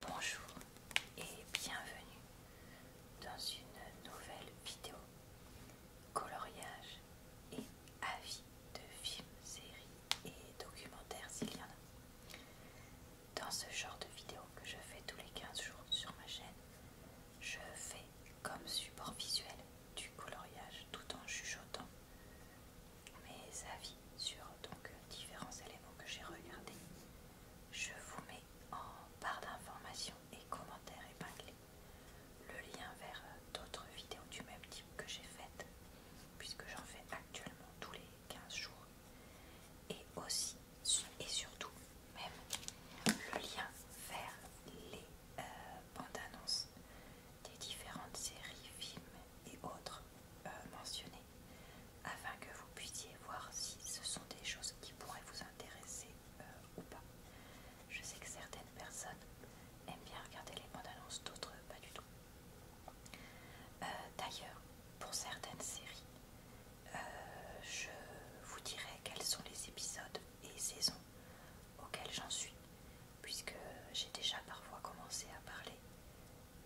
Bonjour et bienvenue dans une nouvelle vidéo coloriage et avis de films, séries et documentaires s'il y en a. Dans ce genre de vidéo que je fais tous les 15 jours sur ma chaîne, je fais comme support visuel du coloriage tout en chuchotant mes avis sur donc, différents éléments que j'ai regardés. Je vous mets en barre d'informations et commentaires épinglés le lien vers d'autres vidéos du même type que j'ai faites, puisque j'en fais actuellement tous les 15 jours, et aussi et surtout même le lien vers les euh, bandes annonces des différentes séries, films et autres euh, mentionner afin que vous puissiez voir si ce sont des choses qui pourraient vous intéresser euh, ou pas. Je sais que certaines personnes aiment bien regarder les bandes annonces, d'autres pas du tout. Euh, d'ailleurs, pour certaines séries, je vous dirai quels sont les épisodes et saisons auxquels j'en suis, puisque j'ai déjà parfois commencé à parler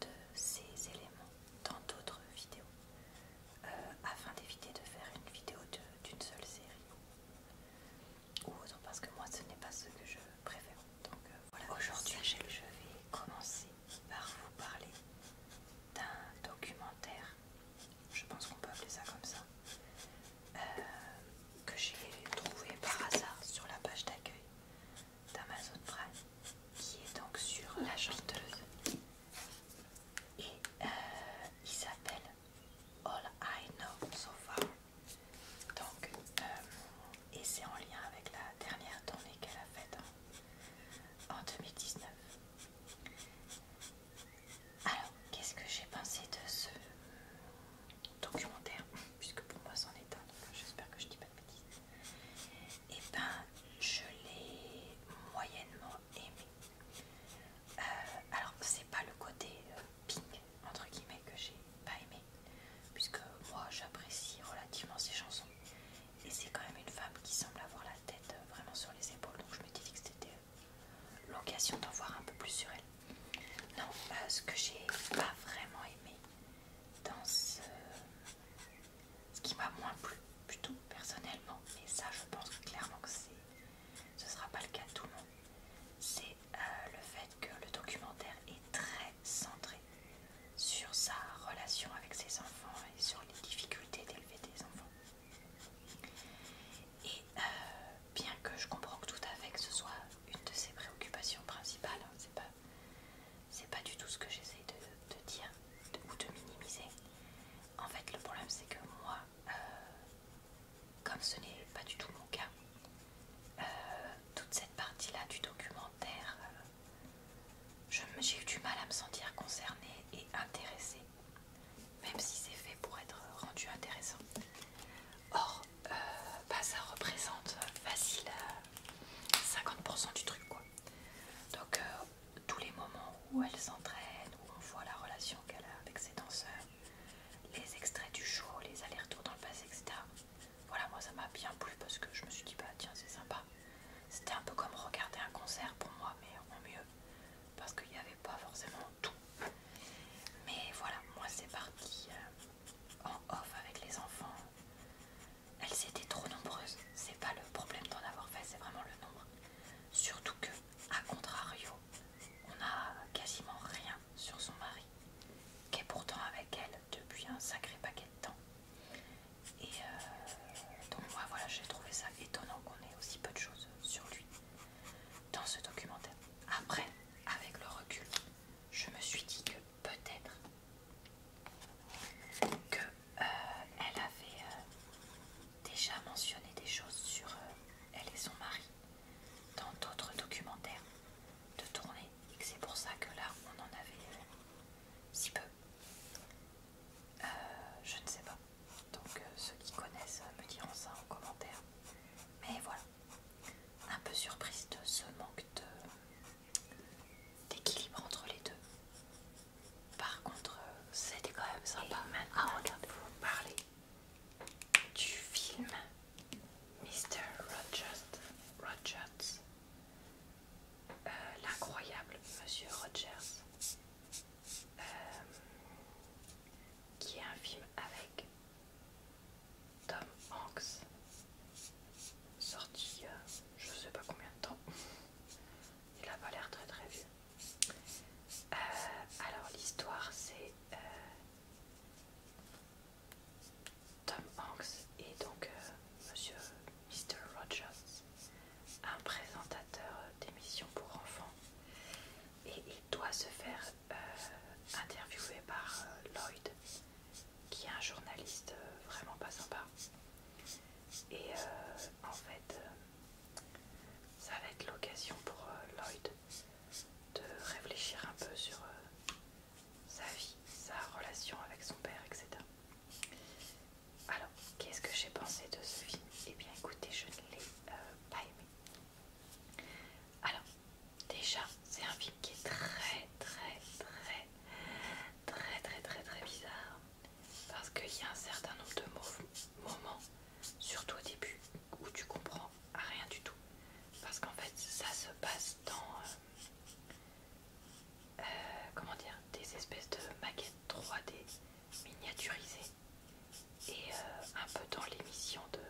de ces éléments dans d'autres vidéos euh, afin d'éviter de faire une vidéo d'une seule série ou autre parce que moi ce n'est pas ce que je préfère donc euh, voilà aujourd'hui je vais commencer par vous parler d'un documentaire je pense qu'on peut appeler ça comme ça euh, que j'ai trouvé par hasard sur la page d'accueil d'Amazon qui est donc sur la chanteuse et euh, il s'appelle All I Know So Far donc euh, et c'est en lien avec la dernière tournée qu'elle a faite hein, en, 2019 alors qu'est-ce que j'ai pensé de ce documentaire puisque pour moi c'en est un donc j'espère que je dis pas et eh ben je l'ai moyennement aimé. Euh, alors c'est pas le côté euh, pink entre guillemets que j'ai pas aimé, puisque moi j'apprécie relativement ses chansons, et c'est quand même une femme qui semble avoir la tête euh, vraiment sur les épaules, donc je me dit que c'était l'occasion d'en voir un peu plus sur elle. Non, ce que j'ai pas vraiment aimé dans ce, ce qui m'a moins plu, plutôt personnellement, et ça je pense clairement que ce ne sera pas le cas de tout le monde, c'est euh, le fait que le documentaire est très centré sur sa relation avec ses enfants et sur les difficultés d'élever des enfants. Et euh, bien que je comprends que tout à fait que ce soit une de ses préoccupations principales, hein, c'est pas c'est pas du tout ce que j'essaie de, dire ou de minimiser. En fait, le problème c'est que moi, euh, comme ce n'est pas du tout mon cas, euh, toute cette partie-là du documentaire, euh, j'ai eu du mal à me sentir concernée et intéressée, même si c'est fait pour être rendu intéressant. Or, bah, ça représente facile 50% du truc, quoi. Donc, tous les moments où elle s'entraîne, où on voit la relation qu'elle a avec ses danseurs, les extraits du show, les allers-retours dans le passé, etc. Voilà, moi ça m'a bien plu parce que je me suis dit, bah tiens, c'est sympa. C'était un peu comme regarder un concert pour moi, mais au mieux, parce qu'il n'y avait pas forcément tout. Mais voilà, moi c'est parti euh, en off avec les enfants elles étaient trop nombreuses. C'est pas le problème d'en avoir fait, c'est vraiment le nombre. Surtout que, à contrario, on a quasiment rien sur son mari, qui est pourtant avec elle depuis un sacré paquet de temps. Et euh, donc moi voilà, j'ai trouvé ça étonnant qu'on ait aussi peu de choses sur lui dans ce documentaire. Après, avec le recul, je me suis dit que peut-être que euh, elle avait euh, déjà mentionné des choses sur euh, elle et son mari dans d'autres documentaires de tournée et que c'est pour ça que là on en avait si peu. je ne sais pas. Donc ceux qui connaissent me diront ça en commentaire. Mais voilà. Un peu surprise de ce manque de d'équilibre entre les deux. Par contre, euh, c'était quand même sympa. maintenant, ah, vais vous parler du film Mr. Rogers, Rogers euh, l'incroyable Monsieur Rogers, euh, qui est un film avec Tom Hanks, sorti a je sais pas combien de temps il a pas l'air très très vieux. Euh, alors l'histoire c'est euh, Tom Hanks et donc euh, Monsieur Mr. Rogers, un présentateur d'émissions pour enfants, et il doit se faire interviewer par Lloyd, qui est un journaliste vraiment pas sympa. Et euh, en fait, euh, ça va être l'occasion pour euh, Lloyd de réfléchir un peu sur sa vie, sa relation avec son père, etc. Alors, qu'est-ce que j'ai pensé de ce film Eh bien, écoutez, je ne l'ai pas aimé. Alors, déjà, c'est un film qui est très, très, très, très, très, très, très bizarre parce qu'il y a un certain nombre de moments, surtout au début, où tu comprends rien du tout. Parce qu'en fait, ça se passe dans euh, euh, comment dire, des espèces de maquettes 3D miniaturisées et euh, un peu dans l'émission de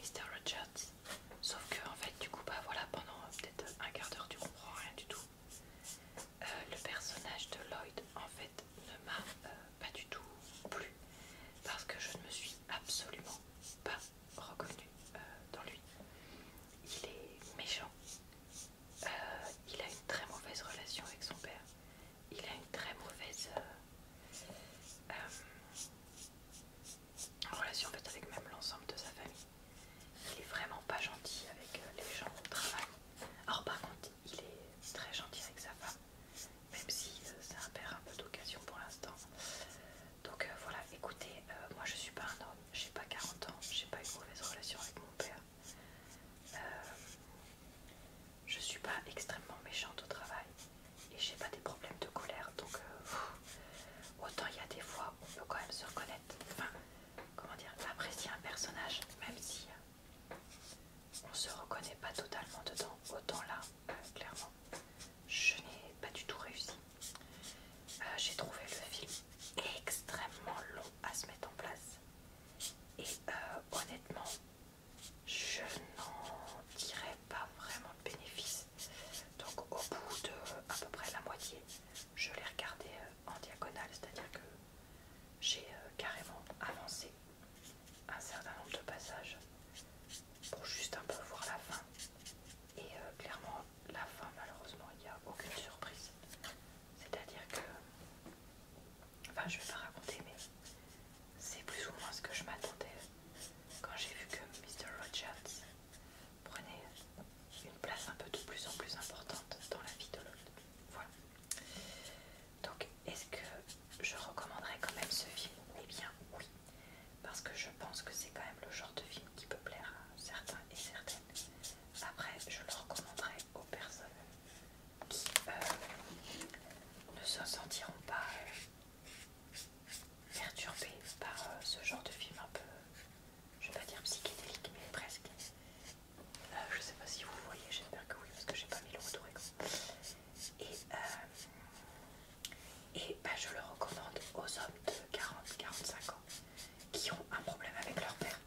Mr. Rogers. Sauf que, en fait, du coup, bah voilà, pendant peut-être un quart d'heure, tu comprends rien du tout. Euh, le personnage de Lloyd en fait ne m'a euh, pas du tout plu parce que je ne me suis absolument pas reconnue euh, dans lui. Il est méchant, il a une très mauvaise relation avec son père, il a une très mauvaise relation avec même l'ensemble de sa famille. Il est vraiment pas gentil avec les gens au travail. Alors par contre, il est très gentil avec sa femme, même si euh, ça c'est un père un peu d'occasion pour l'instant. Donc euh, voilà, écoutez, euh, moi je suis pas un homme, j'ai pas 40 ans, j'ai pas une mauvaise relation avec mon père. Je je suis pas extrêmement méchante au travail et j'ai pas des problèmes de colère donc autant il y a des fois on peut quand même se reconnaître enfin, comment dire, apprécier un personnage, même si euh, on se reconnaît pas totalement dedans, autant là, euh, clairement, je n'ai pas du tout réussi. Euh, j'ai trouvé le film extrêmement long à se mettre en place. Et honnêtement, je n'en dirais pas vraiment de bénéfice. Donc au bout de à peu près la moitié, je l'ai regardé euh, en diagonale, c'est-à-dire que j'ai euh, carrément avancé un certain nombre de passages pour juste un peu voir la fin. Et euh, clairement, la fin, malheureusement, il n'y a aucune surprise. C'est-à-dire que... Enfin, je ne vais pas raconter, mais c'est plus ou moins ce que je m'attendais quand j'ai vu que Mr. Rogers prenait une place un peu de plus en plus importante dans la vie de l'autre. Voilà. Donc, est-ce que je recommanderais quand même ce film Eh bien, oui, parce que je pense que c'est quand même le genre de film qui peut plaire à certains et certaines. Après, je le recommanderais aux personnes qui euh, ne se sentiront pas euh, perturbées par euh, ce genre de film un peu, je ne vais pas dire psychédélique, mais presque. Je euh, je sais pas si vous voyez, j'espère que oui, parce que j'ai pas mis le retour Et, euh, et bah, je le recommande aux hommes de 40-45 ans qui ont un problème avec leur père.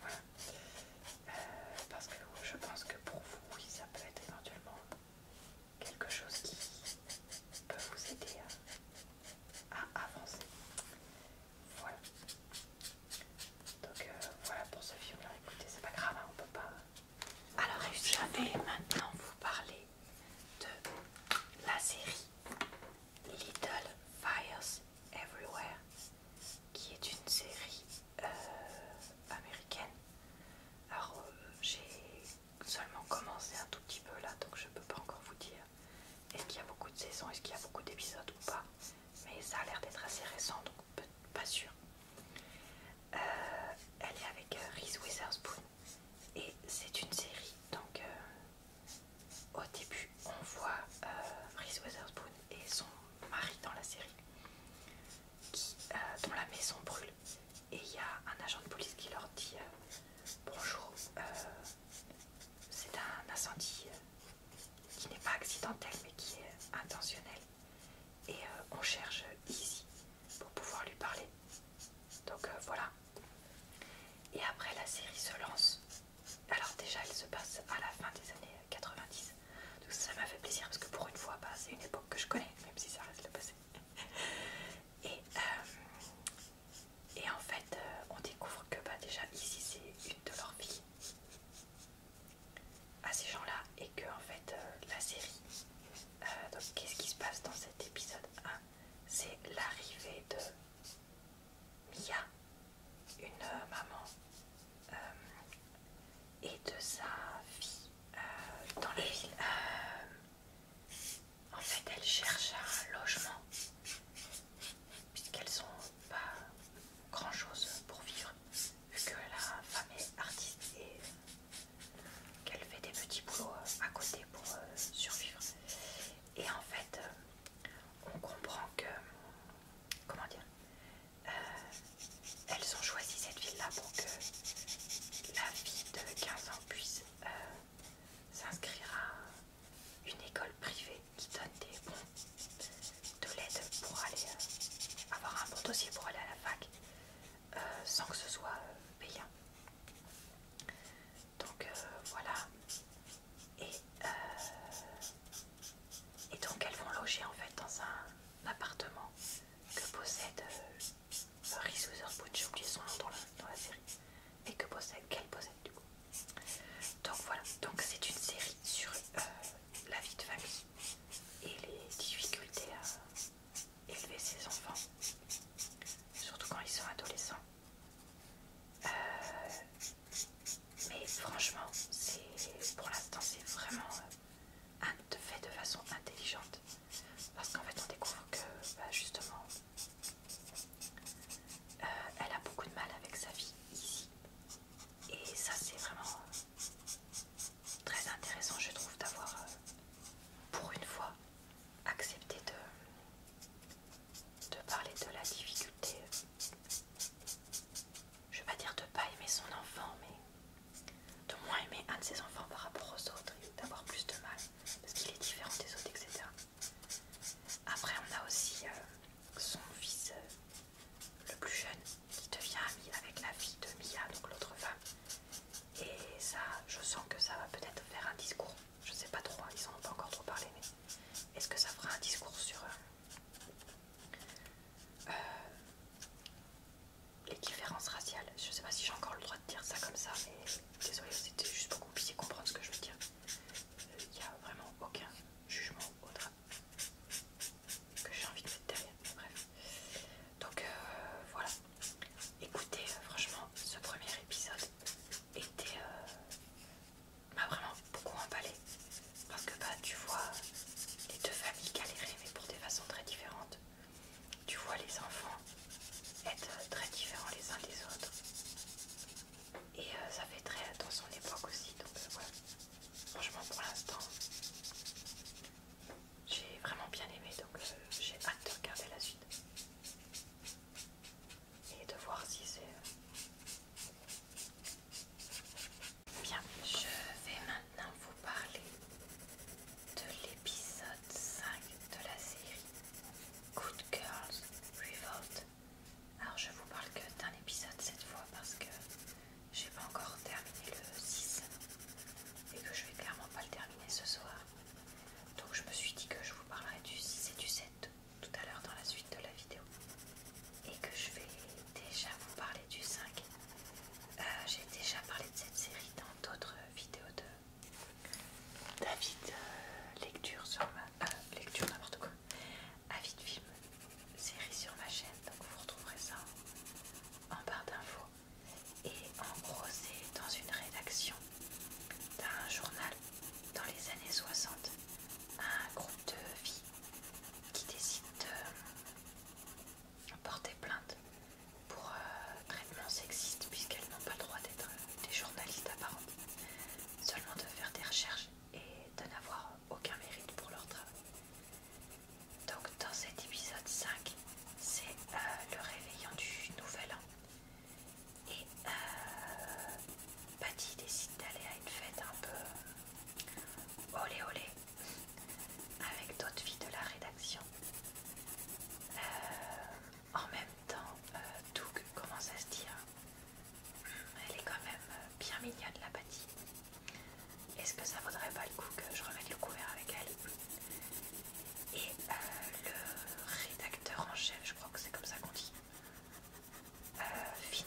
Voilà. Euh, parce que je pense que pour vous, oui, ça peut être éventuellement quelque chose qui peut vous aider à avancer. Voilà. Donc euh, voilà pour ce film là, écoutez, c'est pas grave, hein, on peut pas. Euh, Alors je vais maintenant vous parler de la série Little Fires Everywhere, qui est une série euh, américaine. Alors j'ai seulement commencé un tout petit peu là, donc je peux pas encore vous dire est-ce qu'il y a beaucoup de saisons, est-ce qu'il y a beaucoup d'épisodes ou pas mais ça a l'air d'être assez récent, donc pas sûr. Euh, elle est avec euh, Reese Witherspoon et c'est une série, donc euh, au début on voit Reese Witherspoon et son mari dans la série, dont la maison brûle et il y a un agent de police qui leur dit bonjour, c'est un incendie qui n'est pas accidentelle mais qui est intentionnelle. Et euh, on cherche ici pour pouvoir lui parler. Donc euh, voilà. Et après la série se lance. Alors déjà elle se passe à la fin des années 90. Donc ça m'a fait plaisir parce que pour une fois, bah, c'est une époque que je connais, même si ça reste le passé. et, euh, et en fait, on découvre que bah, déjà ici c'est une de leurs filles à ces gens-là et que en fait euh, la série, euh, donc qu'est-ce qui se passe dans cet épisode 1 C'est l'arrivée de Mia, une euh, maman, et de sa fille dans les en fait, elle cherche un logement puisqu'elles n'ont pas grand chose pour vivre, vu que la femme est artiste et qu'elle fait des petits boulots euh, à côté pour euh, survivre. Et en fait, euh, on comprend que, comment dire, elles ont choisi cette ville-là pour que la fille de 15 ans puisse s'inscrire à une école privée qui donne des bons de l'aide pour aller euh, avoir un bon dossier pour aller à la fac euh, sans que ce soit euh, payant. Donc voilà. Et, donc elles vont loger en fait dans un appartement que possède Reese Witherspoon, j'ai oublié son nom dans la, série, et que possède qu'elle possède du coup. Donc voilà, donc c'est une série sur la vie de famille et les difficultés à élever ses enfants, surtout quand ils sont adolescents. Euh, mais franchement, pour l'instant, c'est vraiment euh, un fait de façon intelligente. Parce qu'en fait, on découvre que, bah, justement, euh, elle a beaucoup de mal avec sa vie ici, et ça, c'est vraiment très intéressant, je trouve, d'avoir euh, pour une fois accepté de, de parler de la difficulté. Je ne vais pas dire de pas aimer son enfant, mais de moins aimer un de ses enfants par rapport aux autres et d'avoir plus de mal parce qu'il est différent des autres, etc. Après, on a aussi euh, son fils euh, le plus jeune, qui devient ami avec la fille de Mia, donc l'autre femme. Et ça, je sens que ça va peut-être faire un discours. Je sais pas trop, hein, ils en ont pas encore trop parlé, mais est-ce que ça fera un discours sur euh, euh, les différences raciales Je sais pas si j'ai encore le droit de dire ça comme ça, mais désolé, c'était juste pour que vous puissiez comprendre ce que je veux dire. Il euh, n'y a vraiment aucun jugement, autre que j'ai envie de mettre derrière. Bref. Donc euh, voilà. Écoutez, euh, franchement, ce premier épisode était m'a euh, bah, vraiment beaucoup emballé. Parce que bah, tu vois les deux familles galérer mais pour des façons très différentes. Tu vois les enfants être très différents les uns des autres. Et ça fait très dans son époque aussi. Donc voilà. Franchement, pour l'instant, j'ai vraiment bien aimé, donc euh, j'ai hâte de regarder la suite et de voir si c'est euh, bien. Je vais maintenant vous parler de l'épisode 5 de la série Good Girls Revolt alors je vous parle que d'un épisode cette fois parce que j'ai pas encore terminé le 6 et que je vais clairement pas le terminer ce soir. Donc je me suis dit que je vous parlerai du 6 et du 7 tout à l'heure dans la suite de la vidéo et que je vais déjà vous parler du 5. Euh, j'ai déjà parlé de cette série dans d'autres vidéos de David euh, lecture sur ma euh, lecture n'importe quoi avis de film, série sur ma chaîne, donc vous retrouverez ça en, barre d'infos. Et en gros, c'est dans une rédaction d'un journal dans les années 60, un groupe de filles qui décident de porter plainte pour euh, traitement sexiste puisqu'elles n'ont pas le droit d'être euh, des journalistes apparentes, seulement de faire des recherches et de n'avoir aucun mérite pour leur travail. Donc dans cet épisode 5, c'est euh, le réveillon du nouvel an. Et euh, Patty décide d'aller à une fête un peu olé olé avec d'autres filles de la rédaction. Euh, en même temps, Doug commence à se dire, hein elle est quand même bien mignonne la Patty. Est-ce que ça vaudrait pas le coup que je remette le couvert avec elle Et euh, le rédacteur en chef, je crois que c'est comme ça qu'on dit, euh, Finn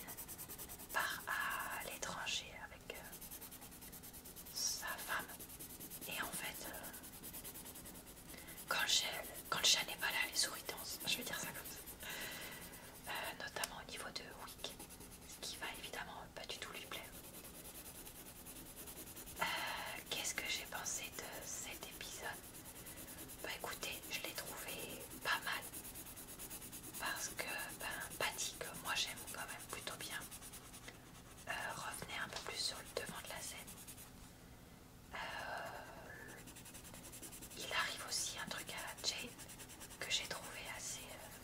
part à l'étranger avec euh, sa femme. Et en fait, quand, le chat, n'est pas là, les souris dansent. Je vais dire ça comme ça. notamment au niveau de Wick ce qui va évidemment pas du tout lui plaire. Euh, qu'est-ce que j'ai pensé de cet épisode Bah écoutez, je l'ai trouvé pas mal. Parce que ben, Patty, que moi j'aime quand même plutôt bien, euh, un peu plus sur le devant de la scène. Euh, il arrive aussi un truc à Jane que j'ai trouvé assez euh,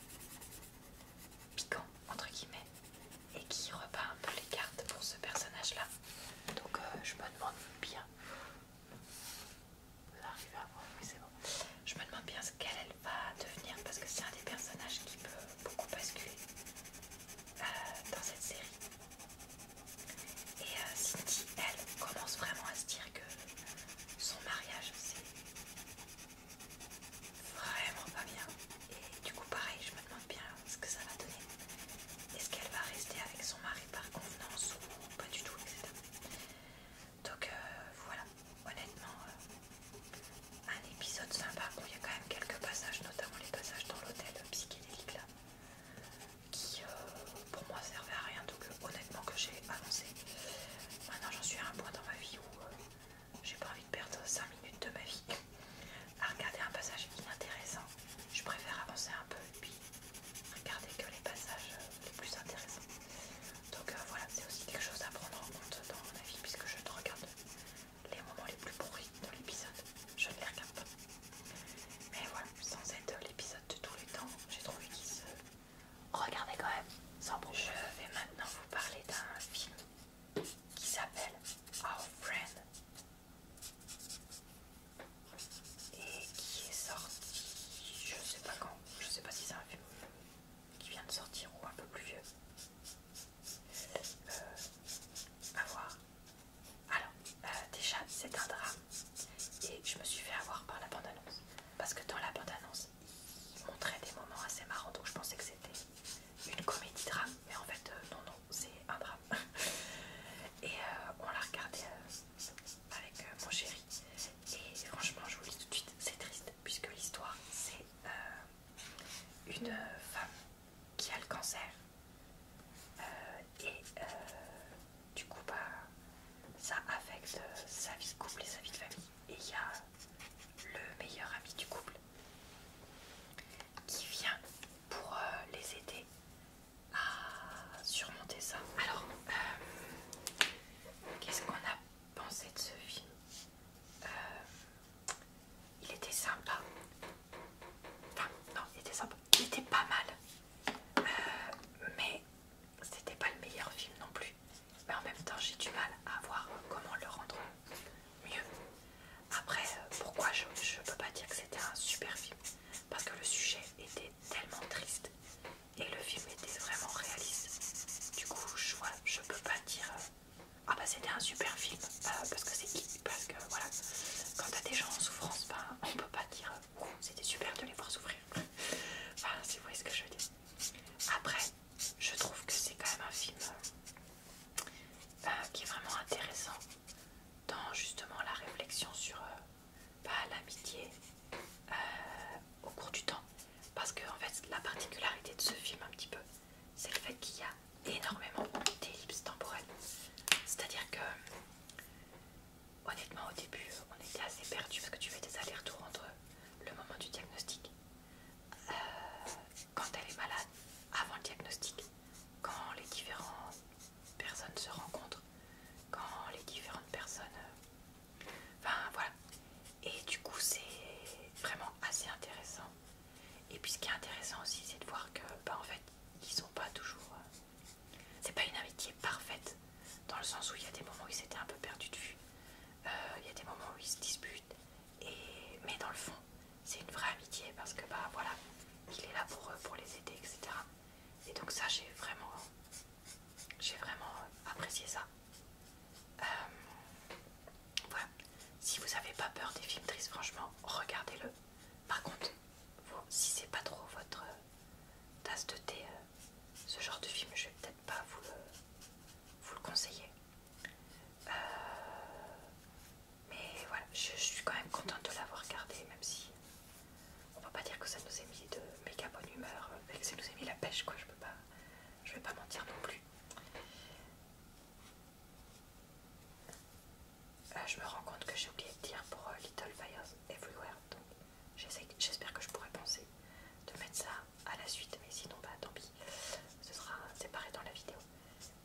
piquant entre guillemets et qui repart un peu les cartes pour ce personnage là donc euh, je me demande bien je me demande bien ce qu'elle va devenir parce que c'est un des personnages qui peut beaucoup basculer euh, dans cette série et euh, Cindy elle commence vraiment à se dire que son mariage c'est vraiment pas bien. Et du coup, pareil, je me demande bien ce que ça va donner. Est-ce qu'elle va rester avec son mari par convenance ou pas du tout, etc. Donc euh, voilà, honnêtement, euh, un épisode sympa où il y a quand même quelques passages, notamment les passages dans l'hôtel psychédélique là, qui euh, pour moi servait à rien honnêtement que j'ai avancé. Maintenant j'en suis à un point dans ma vie où euh, j'ai pas envie de perdre 5 minutes de ma vie à regarder un passage inintéressant. Je préfère avancer un peu et puis regarder que les passages euh, les plus intéressants. Donc euh, voilà, c'est aussi quelque chose à prendre en compte dans ma vie puisque je ne regarde les moments les plus pourris de l'épisode. Je ne les regarde pas. Mais voilà, sans être l'épisode de tous les temps, j'ai trouvé qu'il se Regardez quand même, sans Je vais maintenant vous parler d'un film qui s'appelle Our Friend et qui est sorti, je sais pas quand, je sais pas si c'est un film qui vient de sortir ou un peu plus vieux. Avoir. Euh, voir. Alors, euh, déjà, c'est un drame et je me suis fait avoir par la bande-annonce parce que dans la bande-annonce, il montrait des moments assez marrants, donc je pensais que c'était une comédie drame, mais en fait, euh, non, non, c'est un drame. et euh, on l'a regardé euh, avec mon chéri, et franchement, je vous le dis tout de suite, c'est triste, puisque l'histoire, c'est une femme qui a le cancer, et du coup, bah, ça affecte sa vie de couple et sa vie de famille et il y a le meilleur ami du couple qui vient pour euh, les aider à surmonter ça. Alors, euh, qu'est-ce qu'on a pensé de ce film euh, Il était sympa. Enfin, non, il était sympa. Il était pas mal. mais c'était pas le meilleur film non plus mais en même temps j'ai du mal à voir comment le rendre mieux. Après, euh, pourquoi je ne peux pas dire que c'était un super film Parce que le sujet était tellement triste et le film était vraiment réaliste. Du coup, je ne je peux pas dire euh, ah bah c'était un super film euh, parce que c'est qui Parce que voilà, quand as des gens en souffrance, on ben, on peut pas dire oh, c'était super de les voir souffrir. enfin, si vous voyez ce que je veux dire. Après, je trouve que c'est quand même un film euh, qui est vraiment intéressant dans justement la réflexion sur euh, bah, l'amitié euh, au cours du temps. Parce que fait la particularité de ce film un petit peu, c'est le fait qu'il y a énormément d'ellipses temporelles. C'est-à-dire que honnêtement au début on était assez perdu parce que tu fais des allers-retours entre le moment du diagnostic, euh, quand elle est malade, avant le diagnostic, quand les différentes personnes se rencontrent, quand les différentes personnes... Euh, enfin voilà. Et du coup c'est vraiment assez intéressant. Et puis ce qui est intéressant aussi c'est de voir que bah, en fait ils sont pas toujours... Euh, c'est pas une amitié parfaite dans le sens où il y a des moments où ils s'étaient un peu perdus de vue. Euh, il y a des moments où ils se disputent, et... mais dans le fond, c'est une vraie amitié parce que bah voilà, il est là pour eux, pour les aider, etc. Et donc ça, j'ai vraiment, j'ai vraiment apprécié ça. Euh, voilà. Si vous n'avez pas peur des films tristes, franchement, regardez-le. Par contre, si si c'est pas trop votre tasse de thé, euh, ce genre de film, je vais peut-être pas vous le vous le conseillez. Euh, mais voilà, je, suis quand même contente de l'avoir gardé, même si on va pas dire que ça nous a mis de méga bonne humeur, mais que ça nous a mis la pêche, quoi. Je peux pas, je vais pas mentir non plus. Euh, je me rends compte que j'ai oublié de dire pour euh, Little Fires Everywhere, donc j'espère que je pourrais penser de mettre ça à la suite, mais sinon, bah tant pis, ce sera séparé dans la vidéo.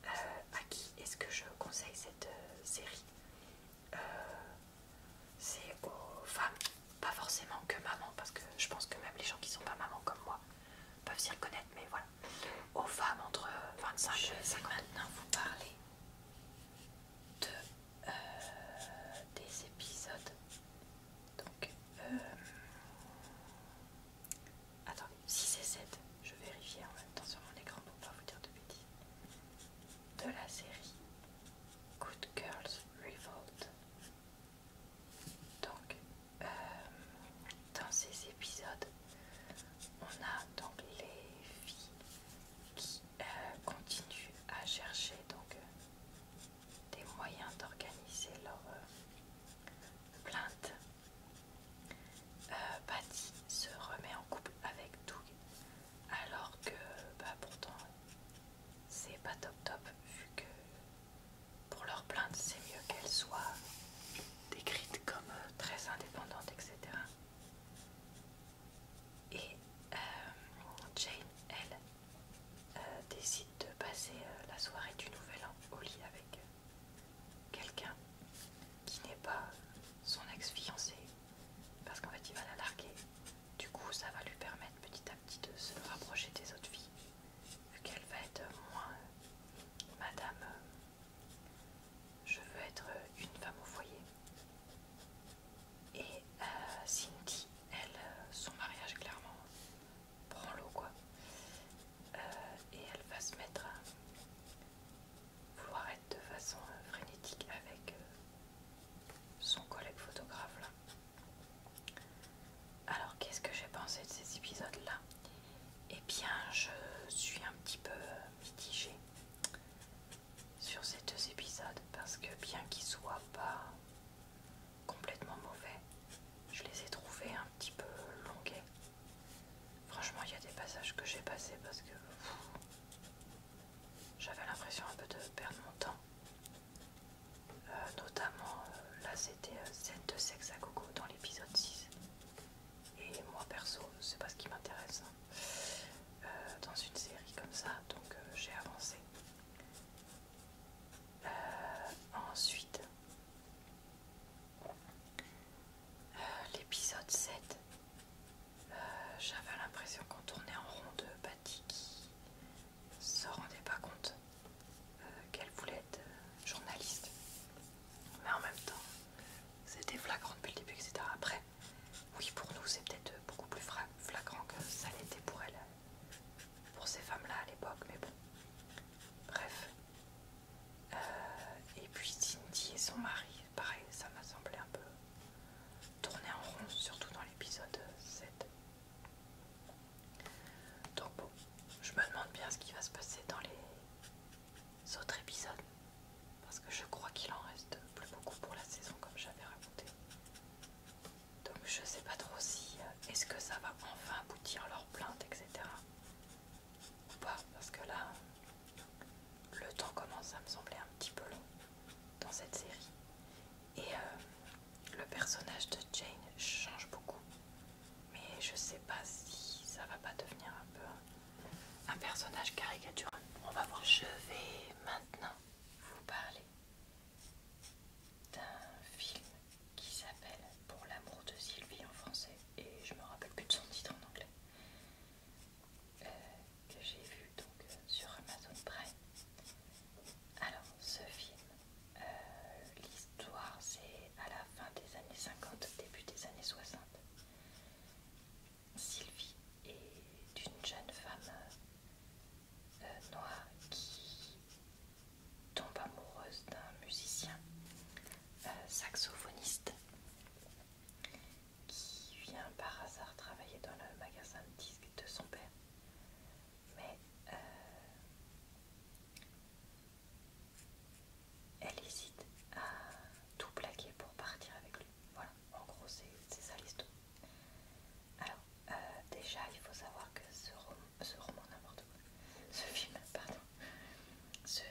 Euh, à qui est-ce que je conseille cette euh, série euh, C'est aux femmes, pas forcément que maman, parce que je pense que même les gens qui sont pas maman comme moi peuvent s'y reconnaître, mais voilà. Aux femmes entre 25 et 50 maintenant vous parlez de, des épisodes donc, euh... attends, si c'est 7, je vérifie en même temps sur mon écran pour pas vous dire de bêtises. De la série Good Girls Revolt. Donc, euh, dans ces épisodes, on a donc les filles qui euh, continuent à chercher donc des moyens d'organiser leur euh, plainte. Euh, Patty se remet en couple avec Doug alors que bah, pourtant c'est pas top top vu que pour leur plainte c'est mieux qu'elle soit décrite comme euh, très indépendante etc. Et Jane elle euh, décide de passer euh, la soirée du Nouvel An au lit avec euh, quelqu'un qui n'est pas son ex-fiancé, parce qu'en fait il va la larguer. Du coup, ça va lui permettre petit à petit de se rapprocher des autres filles, vu qu'elle va être moins Madame, je veux être une femme au foyer. Et Cindy, elle, son mariage clairement l'eau quoi. Euh, et elle va se mettre à vouloir être de façon euh, frénétique avec euh, son collègue photographe là. Alors qu'est-ce que j'ai pensé de ces épisodes là et eh bien je suis un petit peu mitigée sur ces deux épisodes parce que bien qu'ils soient pas complètement mauvais. Je les ai trouvés un petit peu longuets. Franchement, il y a des passages que j'ai passés parce que j'avais l'impression un peu de perdre mon temps. Euh, notamment, euh, là c'était euh, scène de sexe à coco dans l'épisode 6. Et moi perso, c'est pas ce qui m'intéresse hein. dans une série comme ça, donc j'ai avancé. Euh, ensuite, euh, l'épisode 7, euh, j'avais l'impression qu'on tournait en rond de Patty qui se rendait pas compte qu'elle voulait être journaliste. Mais en même temps, c'était flagrant depuis le début, etc. Après, oui, pour nous, c'est peut-être beaucoup plus flagrant que ça l'était pour elle pour ces femmes-là à l'époque, mais bon. Bref. Euh, et puis Cindy et son mari, pareil, ça m'a semblé un peu tourné en rond, surtout dans l'épisode 7. Donc bon, je me demande bien ce qui va se passer dans les autres épisodes. Parce que je crois qu'il en reste plus beaucoup pour la saison comme j'avais raconté. Donc je sais pas trop si euh, est-ce que ça va enfin aboutir leur plainte, etc. Ou pas, parce que là, le temps commence à me sembler un petit peu long dans cette série. Et euh, le personnage de Jane change beaucoup. Mais je sais pas si ça va pas devenir un peu un personnage caricatural. On va voir. Je vais maintenant vous parler d'un film qui s'appelle Pour l'amour de Sylvie en français et je me rappelle plus de son titre en anglais euh, que j'ai vu donc euh, sur Amazon Prime. Alors ce film, euh, l'histoire c'est à la fin des années 50, début des années 60. Sylvie est une jeune femme euh, Noah qui tombe amoureuse d'un musicien euh, saxophoniste qui vient par hasard travailler dans le magasin de disques de son père. Mais euh, elle hésite à tout plaquer pour partir avec lui. Voilà, en gros c'est ça l'histoire. Euh, déjà, il faut savoir que ce, ce roman, n'importe quoi, ce film, pardon, se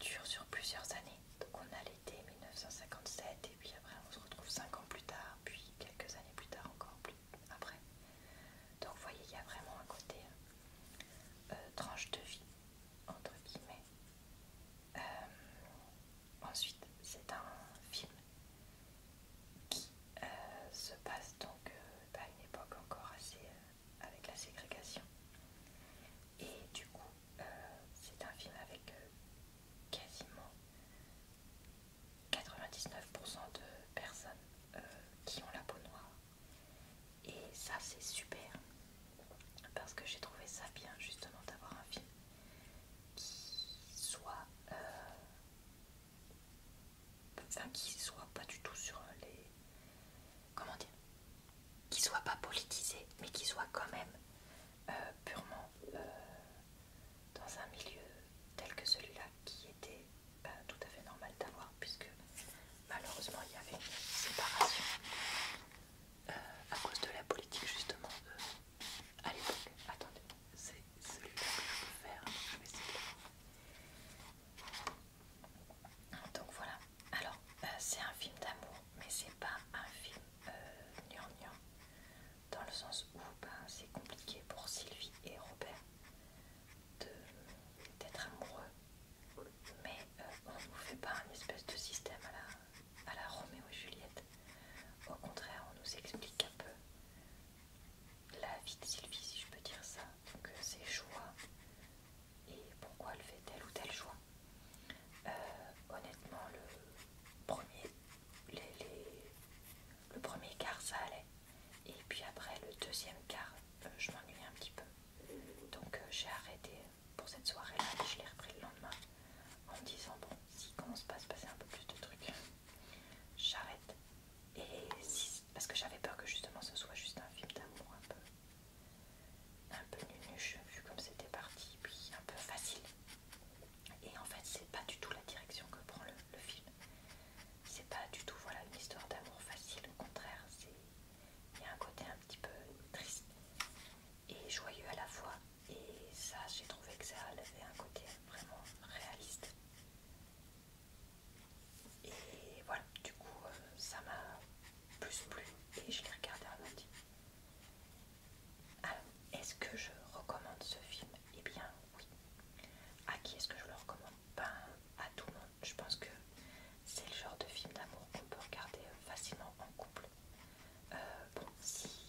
dure sur plusieurs années. Donc, on a l'été 1957, et puis après, on se retrouve cinq ans plus tard, puis quelques années plus tard, encore plus après. Donc, vous voyez, il y a vraiment un côté euh, euh, tranche de vie, entre guillemets. ensuite, c'est un film qui euh, se passe donc euh, bah, à une époque encore assez euh, avec la ségrégation. Et du coup, c'est un film avec quasiment 99% de personnes qui ont la peau noire. Et ça, c'est super. Parce que j'ai trouvé ça bien justement d'avoir un film qui soit enfin qu'il soit pas du tout sur les comment dire qui soit pas politisé mais qui soit quand même euh, purement euh, dans un milieu tel que celui-là qui était bah, tout à fait normal d'avoir puisque malheureusement il y avait une séparation euh, à cause de la politique justement à l'époque attendez c'est ce que je peux faire. Donc, ah, c'est Donc voilà. Alors, euh, c'est un film d'amour, mais c'est pas un film euh, Dans le sens où ben, c'est compliqué pour Sylvie et Robert d'être amoureux. Mais euh, on ne nous fait pas un espèce de système à la, à la Roméo et Juliette. Au contraire, on nous explique un peu la vie de Sylvie, si je peux dire ça, que euh, ses choix et pourquoi elle fait telle ou telle joie euh, honnêtement, le premier, le premier quart, ça allait. Et puis après, le deuxième quart, euh, je m'ennuyais un petit peu. Donc j'ai arrêté pour cette soirée-là et je l'ai repris le lendemain en me disant, bon, s'il commence pas à se passer un peu plus de trucs, j'arrête. Et parce que j'avais peur que justement ce soit juste un film d'amour un peu, un peu vu comme c'était parti, puis un peu facile. Et en fait, c'est pas du tout la direction que prend le, film. C'est pas du tout voilà, une histoire d'amour facile, au contraire, il y a un côté un petit peu triste et joyeux à la fois. Et ça, j'ai trouvé que ça avait un côté vraiment réaliste. Et voilà, du coup, euh, ça m'a plus plu et je l'ai regardé en lundi. Alors, est-ce que je recommande ce film Eh bien, oui. À qui est-ce que je le recommande Ben, à tout le monde. Je pense que c'est le genre de film d'amour qu'on peut regarder euh, facilement en couple. Euh, bon, si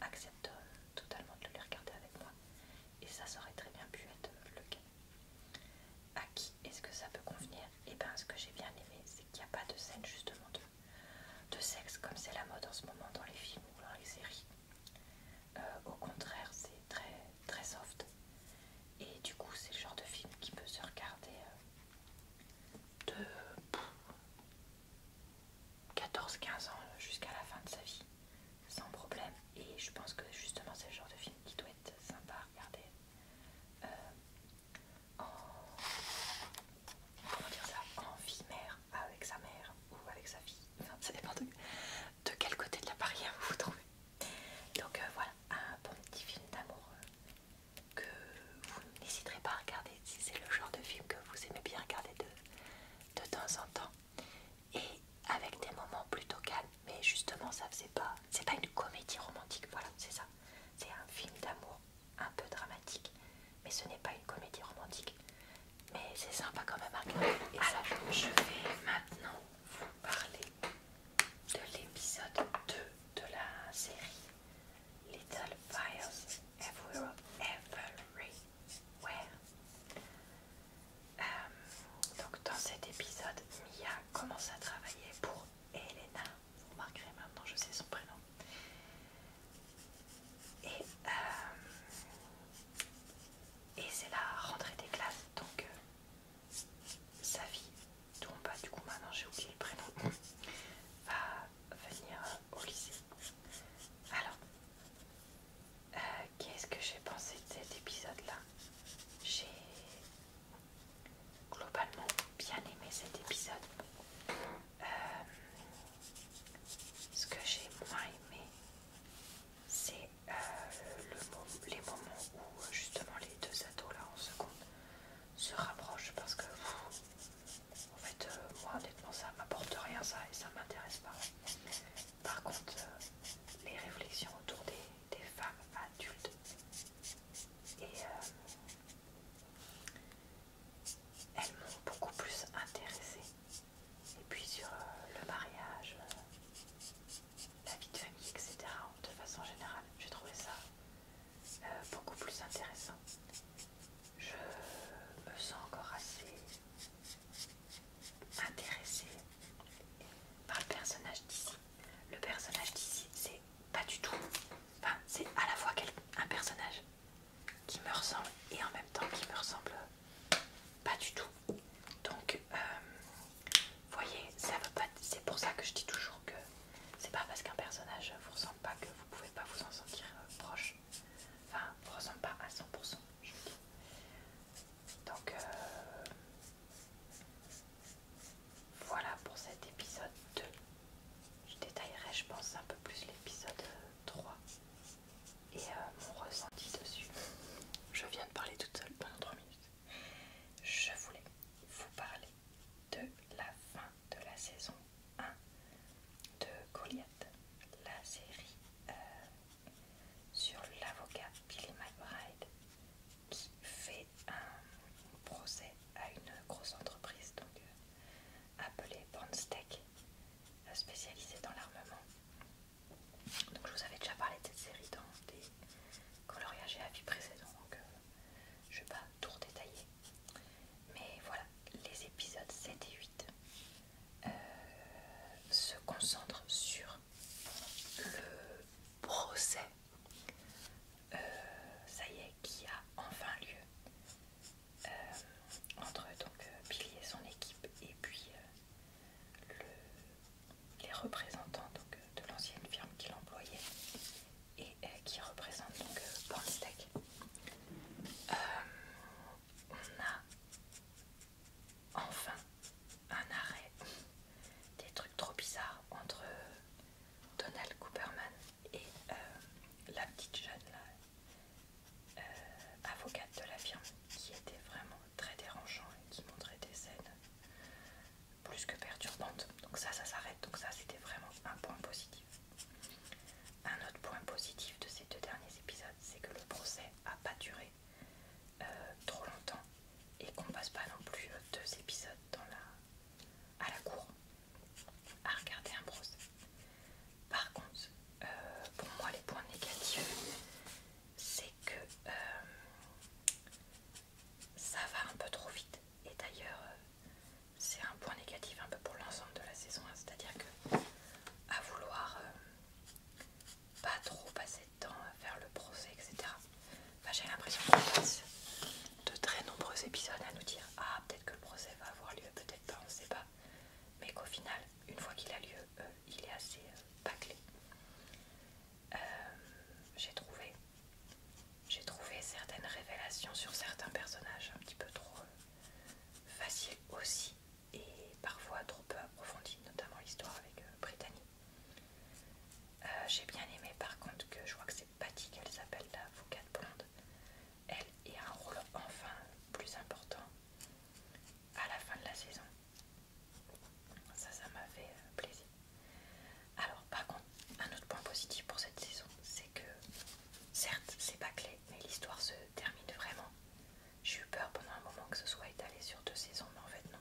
accepte totalement de les regarder avec moi. Et ça, ça aurait très bien pu être le cas. À qui est-ce que ça peut convenir Et eh bien, ce que j'ai bien aimé, c'est qu'il n'y a pas de scène justement de, de sexe comme c'est la mode en ce moment dans les films ou dans les séries. Euh, au contraire, c'est très, très soft. Et du coup, c'est le genre de film qui peut se regarder euh, de 14-15 ans euh, jusqu'à la fin de sa vie, sans problème. Et je pense que justement c'est le genre de film qui doit être sympa à regarder. Euh, en, comment dire ça En vie mère, avec sa mère ou avec sa fille. Enfin, ça dépend de, quel côté de la barrière vous vous trouvez. Donc euh, voilà, un bon petit film d'amour que vous n'hésiterez pas à regarder si c'est le genre de film que vous aimez bien regarder de temps en temps et avec des moments plutôt calmes. Mais justement, ça faisait pas. C'est pas une comédie romantique, voilà, c'est ça. C'est un film d'amour un peu dramatique, mais ce n'est pas une comédie romantique. Mais c'est sympa quand même Et je vais maintenant vous parler de l'épisode 2 de la série Little Fires Ever Ouais. Euh, donc dans cet épisode, Mia commence à travailler pour Elena. Vous remarquerez maintenant, je sais son prénom. Et, euh, et c'est la rentrée des classes, donc euh, sa vie dont pas du coup maintenant j'ai oublié le prénom, va venir au lycée. Alors, euh, qu'est-ce que j'ai pensé de cet épisode-là J'ai globalement bien aimé cet épisode. Euh, ce que j'ai moins aimé, c'est euh, les moments où justement les deux ados là en seconde se rapprochent parce que en fait moi honnêtement ça m'apporte rien ça et ça m'intéresse pas. Par contre, euh, les réflexions autour des, femmes adultes et euh, elles m'ont beaucoup plus intéressée. Et puis sur euh, le mariage, la vie de famille, etc. De façon générale, j'ai trouvé ça beaucoup plus intéressant. Je me sens encore assez intéressé par le personnage d'ici. Le personnage d'ici, c'est pas du tout. Enfin, c'est à la fois un personnage qui me ressemble et en même temps qui me ressemble pas du tout. Donc, vous euh, voyez, ça veut pas. C'est pour ça que je dis toujours que c'est pas parce qu'un personnage vous ressemble pas que vous pouvez pas vous en sentir euh, proche. Enfin, vous ressemble pas à 100%. Donc euh, voilà pour cet épisode 2. Je détaillerai, je pense, un peu plus l'épisode 3 et euh, mon ressenti dessus. Je viens de parler toute seule pendant 3 minutes. Je voulais vous parler de la fin de la saison 1 de Goliath, la série euh, sur l'avocat Billy McBride qui fait un procès à une grosse entreprise donc, euh, appelée Bandstech, euh, spécialisée dans l'armement. Donc je vous avais déjà parlé de cette série dans des coloriages et avis précédents, donc euh, je ne vais pas tout redétailler. Mais voilà, les épisodes 7 et 8 euh, se concentre sur le procès, euh, ça y est, qui a enfin lieu euh, entre donc Billy et son équipe et puis les représentants donc, de l'ancienne firme qu'il employait et qui représente donc euh, on a enfin un arrêt des trucs trop bizarres entre euh, Donald Cooperman et euh, la petite jeune euh, avocate de la firme qui était vraiment très dérangeant et qui montrait des scènes plus que perturbantes. Donc ça, ça s'arrête. Donc ça, c'était vraiment un point positif. Un autre point positif de ces deux derniers épisodes, c'est que le procès a pas duré euh, trop longtemps et qu'on passe pas non plus euh, deux épisodes dans la, à la cour à regarder un procès. Par contre, euh, pour moi, les points négatifs, c'est que ça va un peu trop vite. Et d'ailleurs, c'est un point négatif un peu pour l'ensemble de la saison, c'est-à-dire que à vouloir pas trop passer de temps à faire le procès, etc. J'ai l'impression qu'on passe de très nombreux épisodes à nous dire Ah, peut-être que le procès va avoir lieu, peut-être pas, on ne sait pas. Mais qu'au final, une fois qu'il a lieu, euh, il est assez pas euh, euh, J'ai trouvé. certaines révélations sur certains personnages un petit peu trop faciles aussi et parfois trop peu approfondie, notamment l'histoire avec euh, euh, J'ai bien aimé par contre que je vois que c'est Patty qu'elle s'appelle la Foucade blonde. Elle ait un rôle enfin plus important à la fin de la saison. Ça, ça m'a fait euh, plaisir. Alors par contre, un autre point positif pour cette saison, c'est que certes c'est pas clé, mais l'histoire se termine vraiment j'ai eu peur pendant un moment que ce soit étalé sur deux saisons, mais en fait non.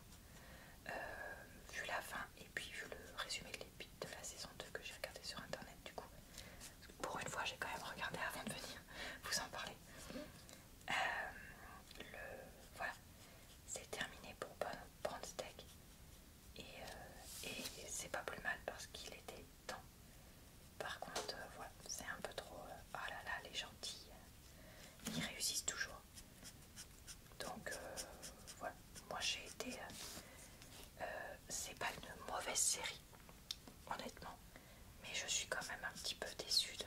Euh, vu la fin et puis vu le résumé de de la saison 2 que j'ai regardé sur internet du coup. Pour une fois j'ai quand même regardé avant de venir vous en parler. Euh, voilà, c'est terminé pour Brandsteak. Et, euh, et c'est pas plus mal parce qu'il était temps. Par contre, voilà, c'est un peu trop... oh là là, les gentils ils réussissent toujours. Donc euh, voilà, moi j'ai été... Euh, euh, c'est pas une mauvaise série, honnêtement, mais je suis quand même un petit peu déçue de,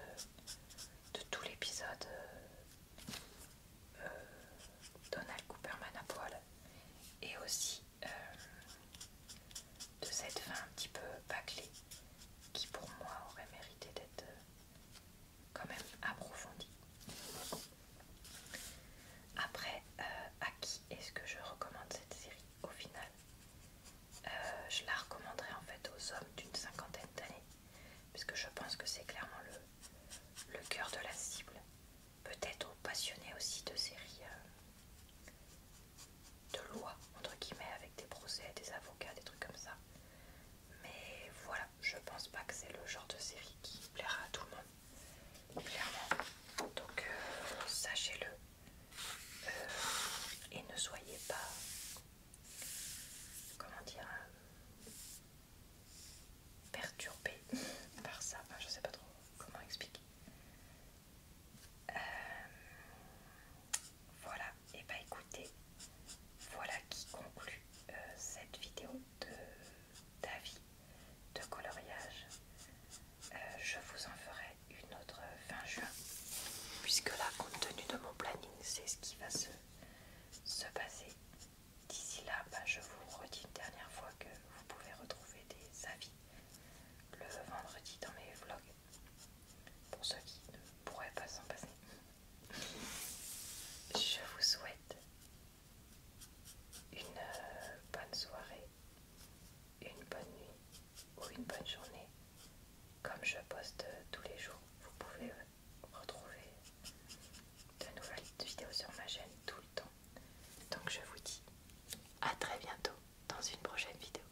de tout l'épisode Donald Cooperman à poil et aussi de cette fin un petit peu bâclée qui pour moi aurait mérité d'être quand même approfondie. Après, euh, à qui est-ce que je recommande cette série au final euh, Je la recommanderais en fait aux hommes d'une cinquantaine d'années, Parce que je pense que c'est clairement le, cœur de la cible. Peut-être aux passionnés aussi de séries euh, de loi, entre guillemets, avec des procès, des avocats, des trucs comme ça. Mais voilà, je pense pas que c'est le genre de série qui plaira à tout le monde, clairement. Donc euh, sachez-le euh, et ne soyez pas, comment dire, euh, perturbé par ça. Enfin, je sais pas trop comment expliquer. Voilà, et eh bah ben, écoutez, voilà qui conclut euh, cette vidéo d'avis de, coloriage. Euh, je vous en ferai une autre fin juin, puisque là, compte tenu de mon planning, c'est ce qui va se, se passer. D'ici là, ben, je vous redis une dernière fois que vous pouvez retrouver des avis le vendredi dans mes vlogs pour ceux qui ne pourraient pas s'en passer. Je vous souhaite une euh, bonne soirée, une bonne nuit ou une bonne journée. Comme je poste tous les jours, vous pouvez euh, retrouver de nouvelles vidéos sur ma chaîne tout le temps. Donc je vous dis à très bientôt dans une prochaine vidéo.